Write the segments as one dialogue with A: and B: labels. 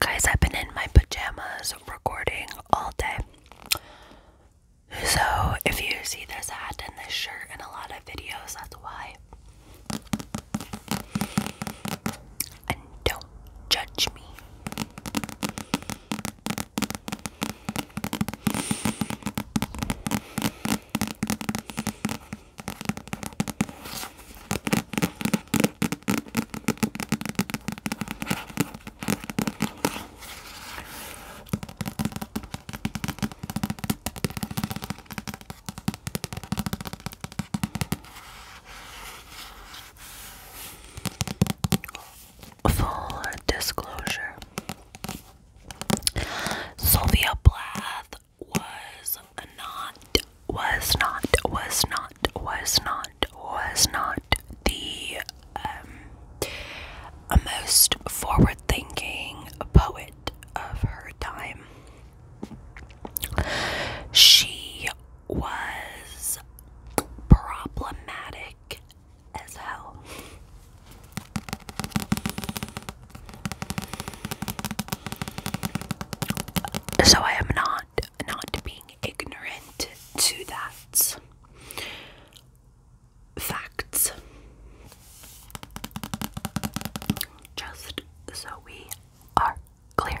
A: Guys, I've been in my pajamas recording all day. So, if you see this hat and this shirt in a lot of videos, that's why. And don't judge me. Full disclosure Sylvia Plath was not, was not, was not, was not, was not the um, most forward thinking poet of her time. She was problematic as hell. So I am not not being ignorant to that facts. Just so we are clear.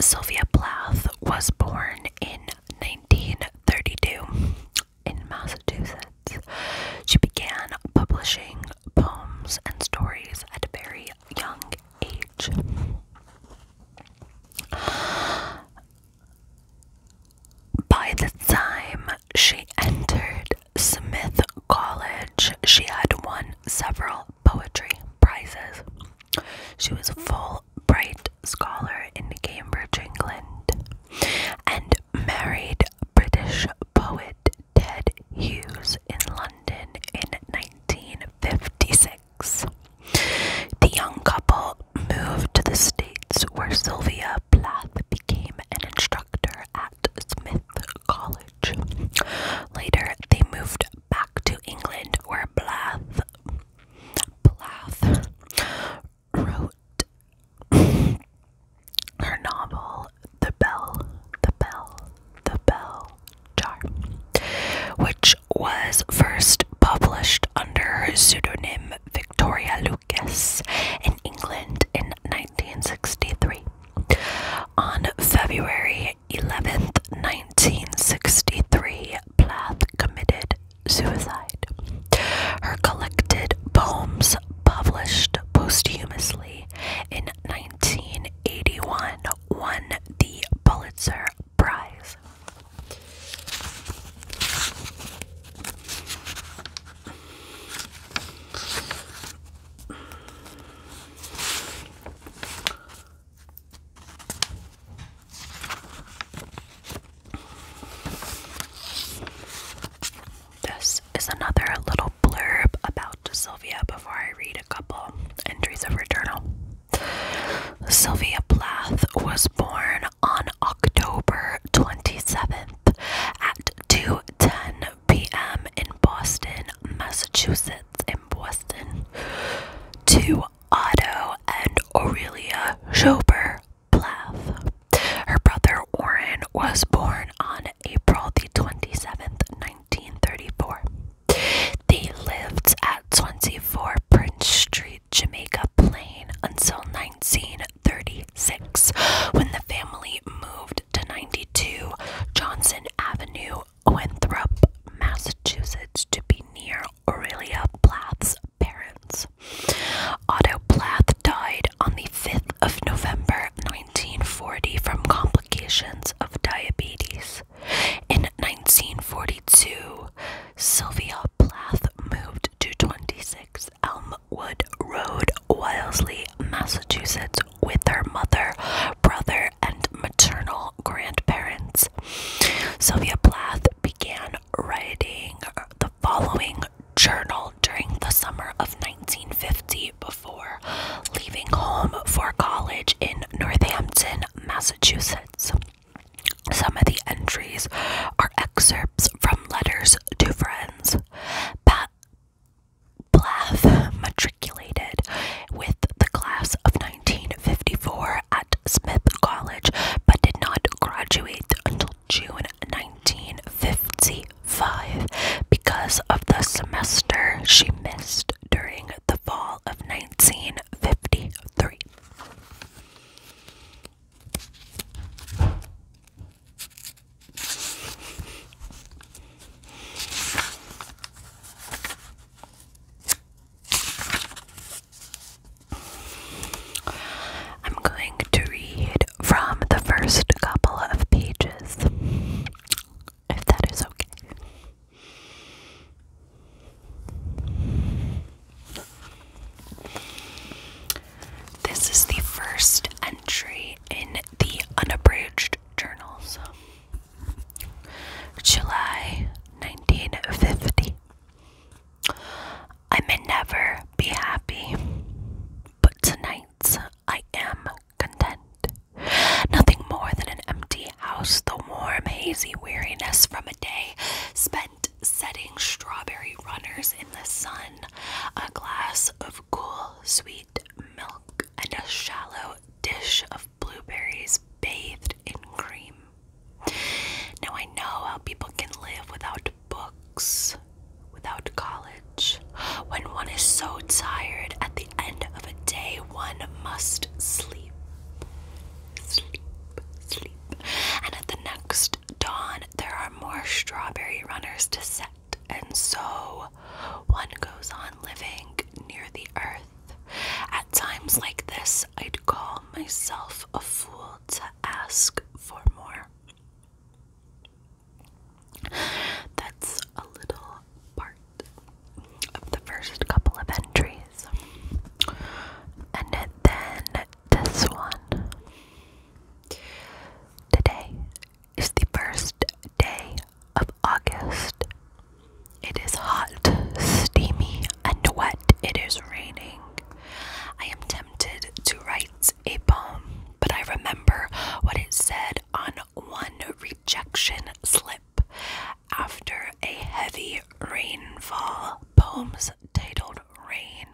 A: Sylvia Plath was born in 1932 in Massachusetts. She began publishing poems and stories at a very young age. By the time she entered Smith College, she had won several poetry prizes. She was a full bright scholar in Cambridge, England, and married British poet Ted Hughes in London in 1956. The young couple moved to the States where Sylvia Plath became an instructor at Smith College. Later, they moved back to England, where Blath, Blath wrote her novel, The Bell, The Bell, The Bell Jar, which was first published under her pseudonym Victoria Lucas in England in on February 11, 1963, Plath committed suicide. Her collected poems, published posthumously in 1981, won the Pulitzer Prize. This is another little blurb about Sylvia before I read a couple entries of her journal. Sylvia Plath was born on October 27th at 2 10 p.m. in Boston, Massachusetts, in Boston, to Otto and Aurelia Schober Blath. Her brother Warren was born on April the 27th, 1934. They lived at 24 Prince Street, Jamaica Plain until 1936 when the family moved to 92 Johnson Avenue, Winthrop, Massachusetts, to be near Aurelia Plath's parents. Otto Plath died on the 5th of November 1940 from complications of diabetes. In 1942, Sylvia Plath moved to 26 Elm Rockwood Road, Wellesley, Massachusetts, with her mother, brother, and maternal grandparents. Sylvia Plath began writing the following journal during the summer of 1950 before leaving home for college in Northampton, Massachusetts. Some of the entries are excerpts from letters to friends. Pat Blath matriculated with the class of 1954 at Smith College but did not graduate until June 1955 because of the semester she missed during the fall of 1953. I'm going to read from the first couple of pages, if that is okay. This is the first entry in the unabridged journals. July 1950. I may never be happy, but tonight I am content. Nothing more than an empty house, the warm, hazy weariness from a day spent setting strawberry runners in the sun, a glass of cool, sweet milk, and a shallow dish of blueberries bathed in cream. Now, I know how people can live without books, without college. When one is so tired at the end of a day, one must sleep. Sleep, sleep. And at the next dawn, there are more strawberry runners to set and so one goes on living near the earth. At times like this, I'd call myself a fool to ask for more. That's a little part of the first couple of entries. And then this one. Today is the first day of August. It is hot, steamy, and wet. It is raining. I am tempted to write a poem, but I remember what it said on one rejection slip after a heavy rainfall. Poems titled Rain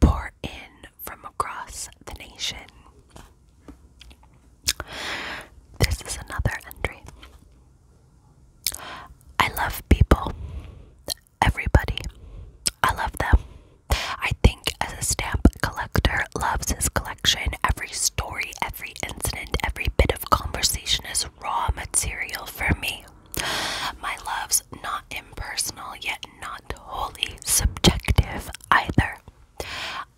A: pour in from across the nation. This is another entry. I love people. Everybody. I love them. I think as a stamp collector loves his collection, every story, every incident, every bit of conversation is raw material for me. My loves not impersonal yet not wholly subjective either.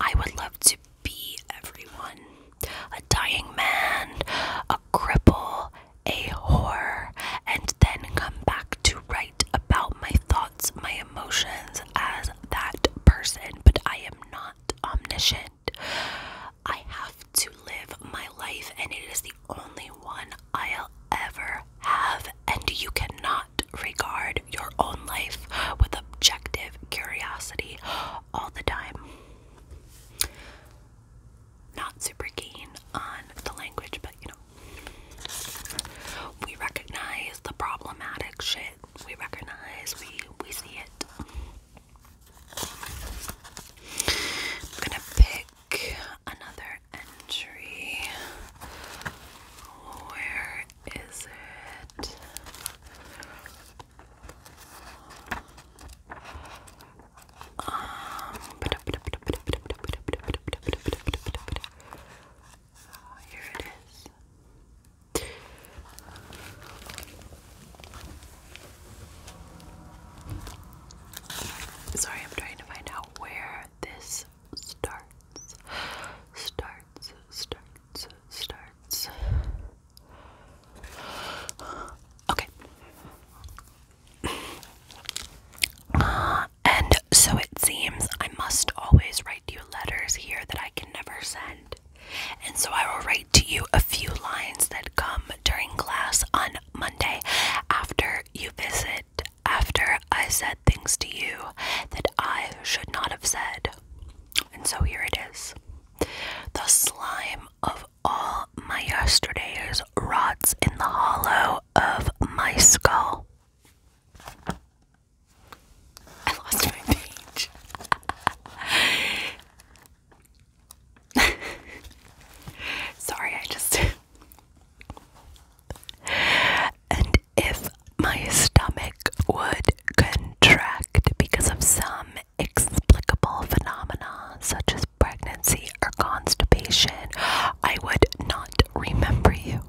A: I would love to be everyone a dying man, a cripple, a whore, and then come back to write about my thoughts, my emotions as that person, but I am not omniscient. I have to live my life, and it is the only one I'll ever have, and you cannot regard your own life with objective curiosity all the time. Not super keen on the language, but you know, we recognize the problematic shit. We recognize, we we see it. I'm gonna pick another entry. Where is it? Um, here it is. Sorry, I'm trying to find out where this starts, starts, starts, starts, Okay. Uh, and so it seems I must always write you letters here that I can never send. And so I will write to you a few lines that come during class on Monday after you visit after I said things to you that I should not have said. And so here it is. The slime of all my yesterdays rots in the hollow of my skull. I lost my page. Sorry, I just And if my stomach would contract because of some explicable phenomena such as pregnancy or constipation, I would not remember you.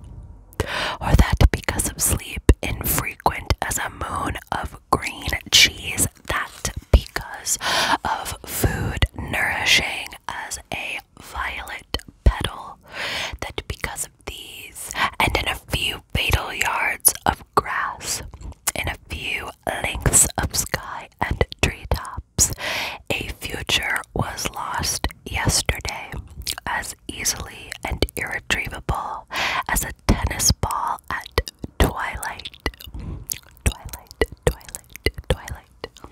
A: Or that because of sleep infrequent as a moon of green cheese, that because of food nourishing as a violet petal that because of these and in a few fatal yards of grass, in a few lengths of sky and treetops, a future was lost yesterday, as easily and irretrievable as a tennis ball at twilight. Twilight, twilight, twilight.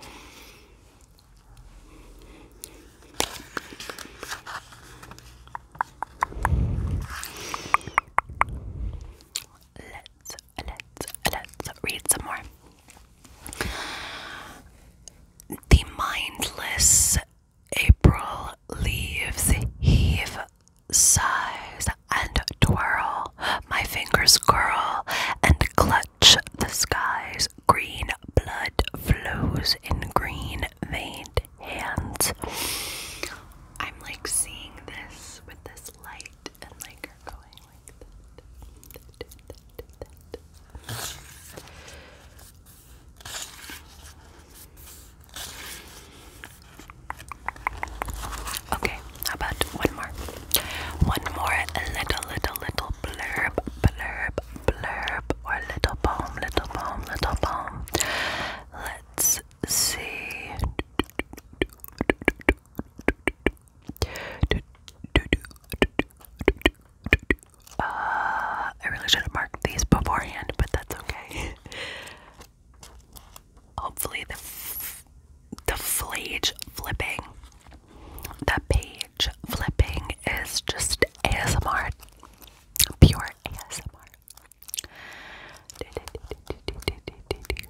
A: Let's let's let's read some more. The mindless April leaves heave, sighs and twirl. My fingers curl and clutch the skies, green blood flows in green veined hands. I'm like seeing this with this light and like her going like that. Okay, how about one more? One more little, little, little blurb, blurb, blurb, or little poem, little poem, little poem. Let's see. Uh, I really should have marked these beforehand, but that's okay. Hopefully, the the page flipping. The page flipping is just ASMR. Pure ASMR. Okay, okay, okay, okay.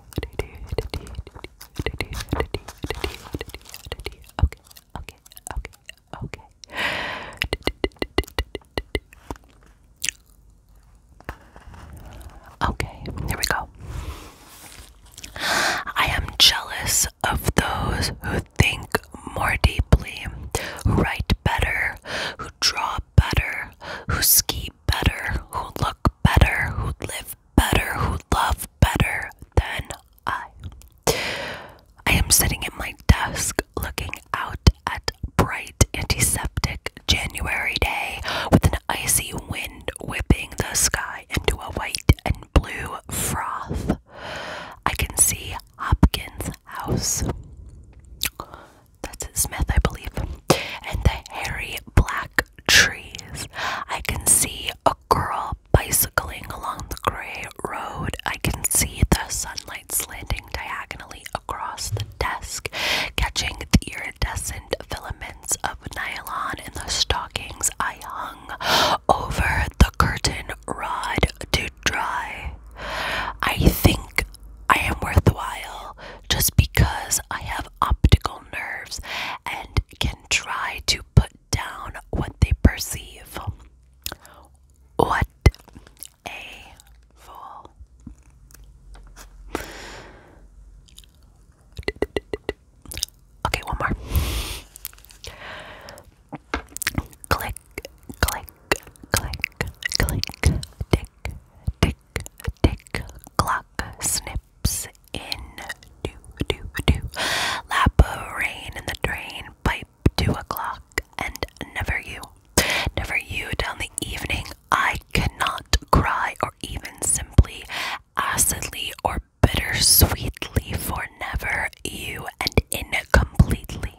A: Okay, here we go. I am jealous of those who think more deeply, who write better, who draw better, who ski better, who look better, who live better, who love better than I. I am sitting at my desk looking out at bright antiseptic January day with an icy wind whipping the sky into a white and blue froth. I can see Hopkins' house. That's Smith, I believe. And the hairy black trees. I can see a girl bicycling along the gray road. I can see the sunlight slanting diagonally across the desk, catching the iridescent filaments of nylon in the stockings I hung over the curtain rod to dry. I think I am worthwhile just because I have optical nerves and can try to put down what they perceive. What a fool. Okay, one more. Click, click, click, click, tick, tick, tick, clock snips in, do, do, do, lap of rain in the drain, pipe two o'clock, and never you, never you down the evening. I cannot cry or even simply acidly or bittersweetly for never you and incompletely.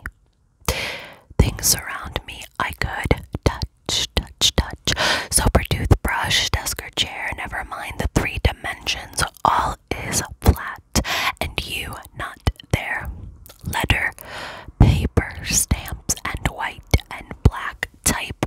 A: Things around me I could touch, touch, touch. Sober toothbrush, desk or chair, never mind the three dimensions. All is flat, and you not there. Letter, paper, stamps, and white and black type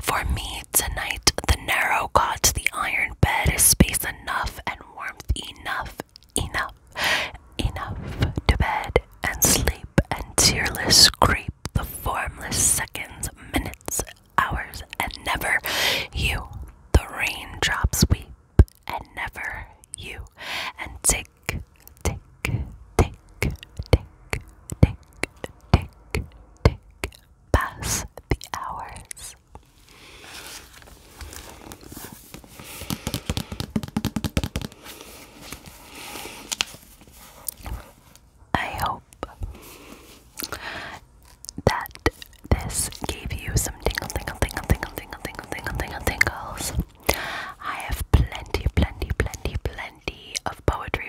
A: for me tonight, the narrow cot, the iron bed is space enough and warmth enough, enough, enough to bed and sleep and tearless creep the formless seconds, minutes, hours, and never you. The raindrops weep and never you. And tick, tick, tick, tick, tick, tick, tick pass the hours. I hope that this gave you some tingle, tingle, tingle, tingle, tingle, tingle, tingle, tingle, tingles. I have plenty, plenty, plenty, plenty of poetry,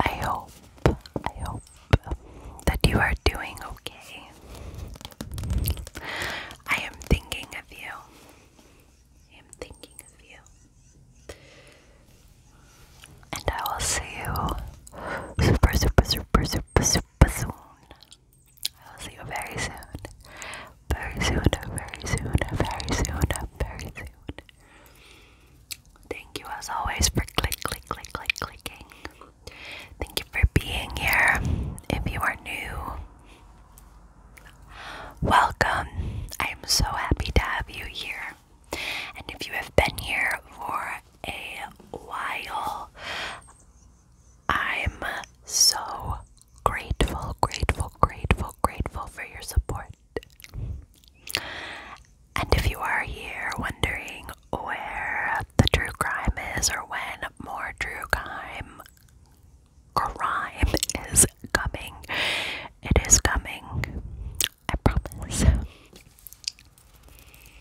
A: I hope, I hope that you are doing okay. I am thinking of you. I am thinking of you. And I will see you super, super, super, super, super soon. I will see you very soon. Very soon, very soon, very soon, very soon. Thank you as always for click, click, click, click, clicking. Thank you for being here. If you are new, welcome. I am so happy to have you here. And if you have been here for a while, I'm so grateful, grateful, grateful, grateful for your support. And if you are here wondering where the true crime is or when more true crime crime is coming, it is coming. I promise.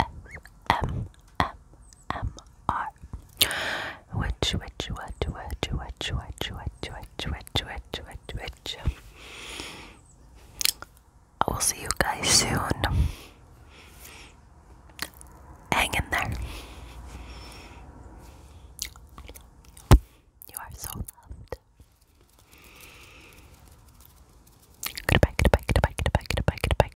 A: M M M R. Which which what which which which which which which which I will see you guys soon. Hang in there. You are so loved. Goodbye, goodbye, goodbye, goodbye, goodbye, goodbye.